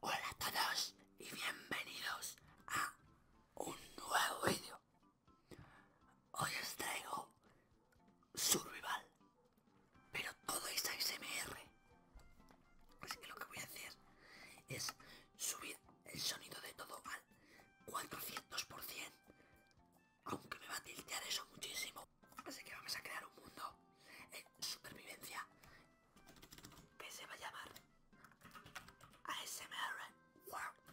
Hola a todos y bienvenidos a un nuevo vídeo. Hoy os traigo Survival, pero todo es ASMR. Así que lo que voy a hacer es subir el sonido de todo al 400%, aunque me va a tiltear eso muchísimo. Así que vamos a crear un mundo en supervivencia que se va a llamar ASMR World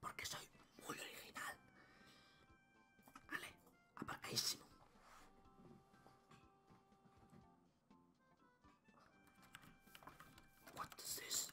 porque soy muy original. Vale, aparcadísimo. What is this?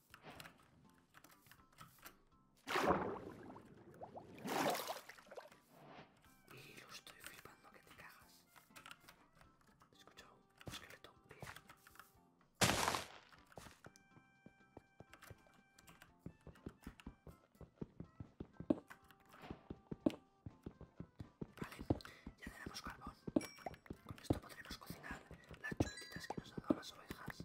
Y lo estoy flipando que te cagas. Escucho un esqueleto, bien. Vale, ya tenemos carbón. Con esto podremos cocinar las chuletitas que nos han dado las ovejas.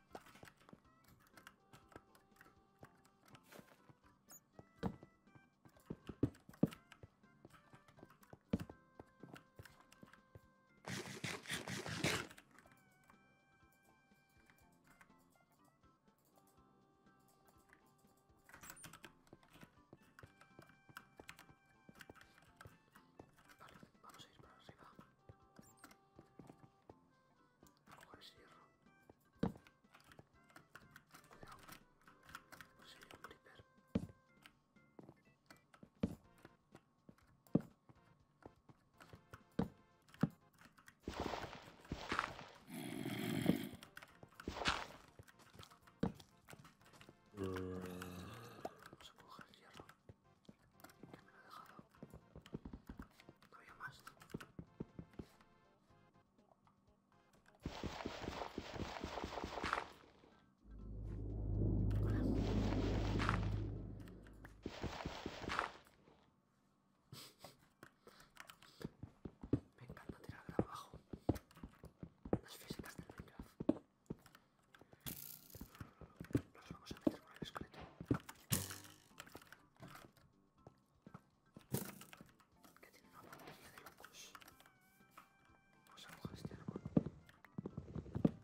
Vale, vamos a ir para arriba. Pues mm. Vamos con hierro. Cuidado. no un hierro me lo he dejado todavía más Hola. Me encanta tirar abajo las físicas del Minecraft. Los vamos a meter con el esqueleto. Que tiene una batería de locos. Vamos a coger este árbol. Y nos vamos por delante.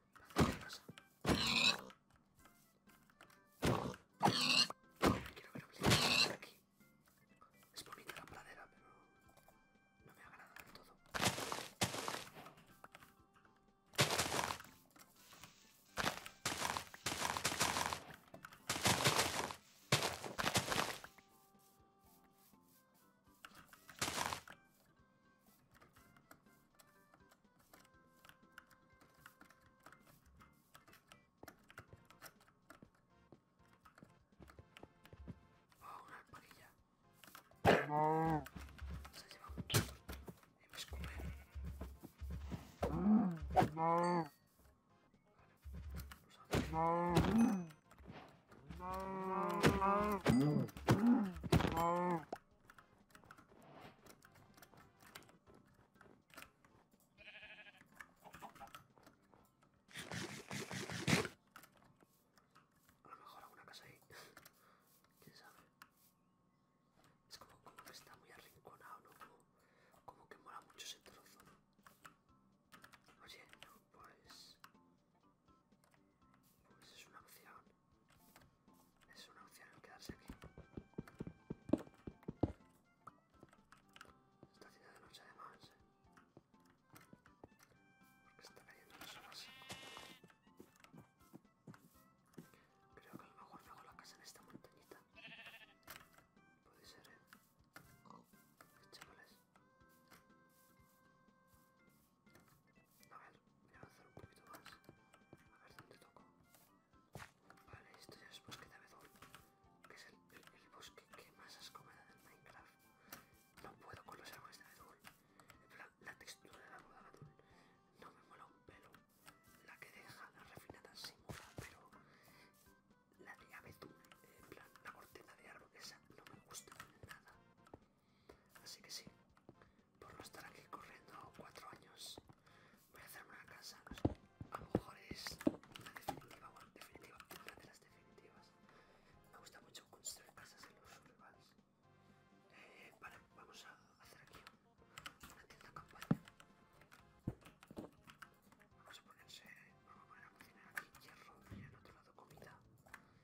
Quiero ver obligados por aquí. Es bonita la pradera, pero no me agrada del todo. Não. Vamos comer. Não. Não. Não. Não. Não. A lo mejor alguna casa ahí. ¿Quién sabe? Es como, que está muy arrinconado, ¿no? Como, como que mola mucho ese trozo. Oye, no, pues... Pues es una opción. Es una opción el quedarse aquí. Está haciendo de noche además, ¿eh? porque está cayendo las horas. Creo que a lo mejor me hago la casa en esta montañita. Puede ser, eh. Chavales. A ver, voy a avanzar un poquito más. A ver dónde toco. Vale, esto ya es bosque de abedul, que es el, bosque que más asco me da Minecraft. No puedo con los árboles de abedul. La, textura del árbol de abedul no me mola un pelo. La que deja la refinada sí mola, pero la de abedul, en plan, la corteza de árbol esa no me gusta nada. Así que sí, por no estar aquí corriendo cuatro años, voy a hacerme una casa. A lo mejor es la definitiva, bueno, definitiva, una de las definitivas. Me gusta mucho construir casas en los urbans. Eh, vale, vamos a hacer aquí una tienda campaña. Vamos a ponerse, vamos a poner a cocinar aquí hierro y en otro lado comida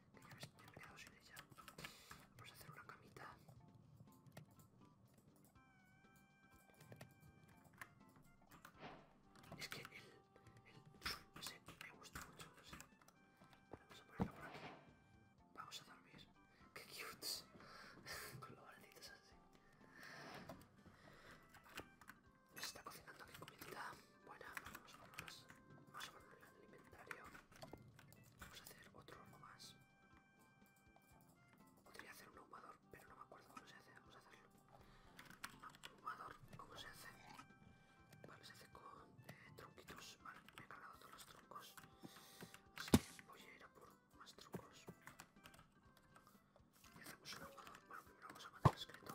que ya me, he quedado sin ella. Vamos a hacer una camita. Es que el, el no sé, me gusta mucho, no sé. Vamos a ponerlo por aquí. Vamos a dormir. ¡Qué cute! Con los balditos así. Se está cocinando aquí comidita. Bueno, vamos, a ponerlo el inventario. Vamos a hacer otro horno más. Podría hacer un ahumador, pero no me acuerdo cómo se hace. Vamos a hacerlo. Ah, ahumador, ¿cómo se hace? Vale, se hace con eh, tronquitos. Vale, me he cargado todos los troncos. Así que voy a ir a por más troncos. Y hacemos un ahumador. Bueno, primero vamos a matar escrito.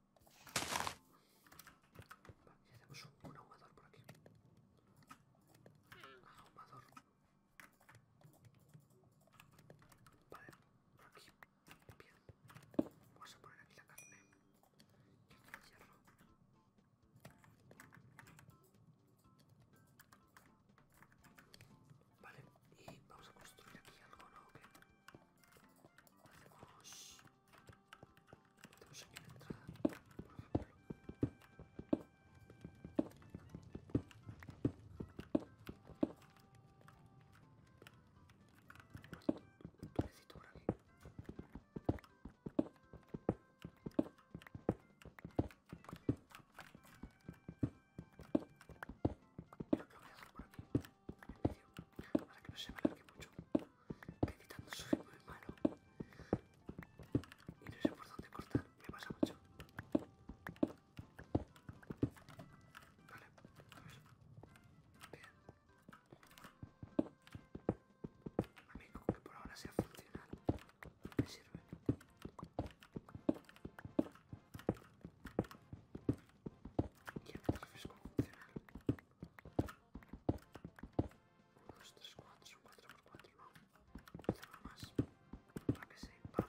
Vale, y hacemos un, ahumador por aquí. Ahumador. Vale, por aquí. Bien. Vamos a poner aquí la carne. Y aquí el hierro. Vale, y vamos a construir aquí algo, ¿no? ¿O Vamos. Tenemos aquí la entrada, por ejemplo. Un Creo que voy a dejar por aquí para que no se me alargue mucho quitando su soy muy malo y no sé por dónde cortar me pasa mucho vale bien a mí como que por ahora sea funcional me sirve É que é possível configurar um, dois, três, quatro, um 4x4 não, não tem mais, para que assim, para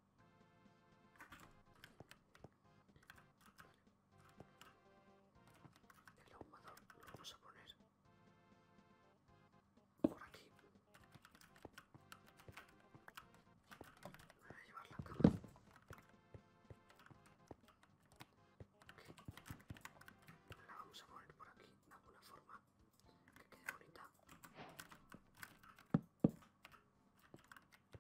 El ahumador lo vamos a poner por aquí. Me voy a llevar la cama. La vamos a poner por aquí de alguna forma que quede bonita.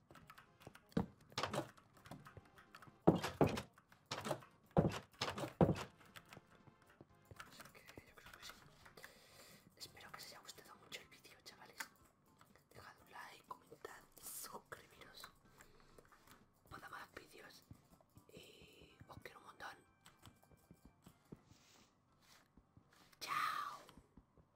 Así que yo creo que sí. Espero que os haya gustado mucho el vídeo, chavales. Dejad un like, comentad, suscribiros para más vídeos y os quiero un montón. Chao.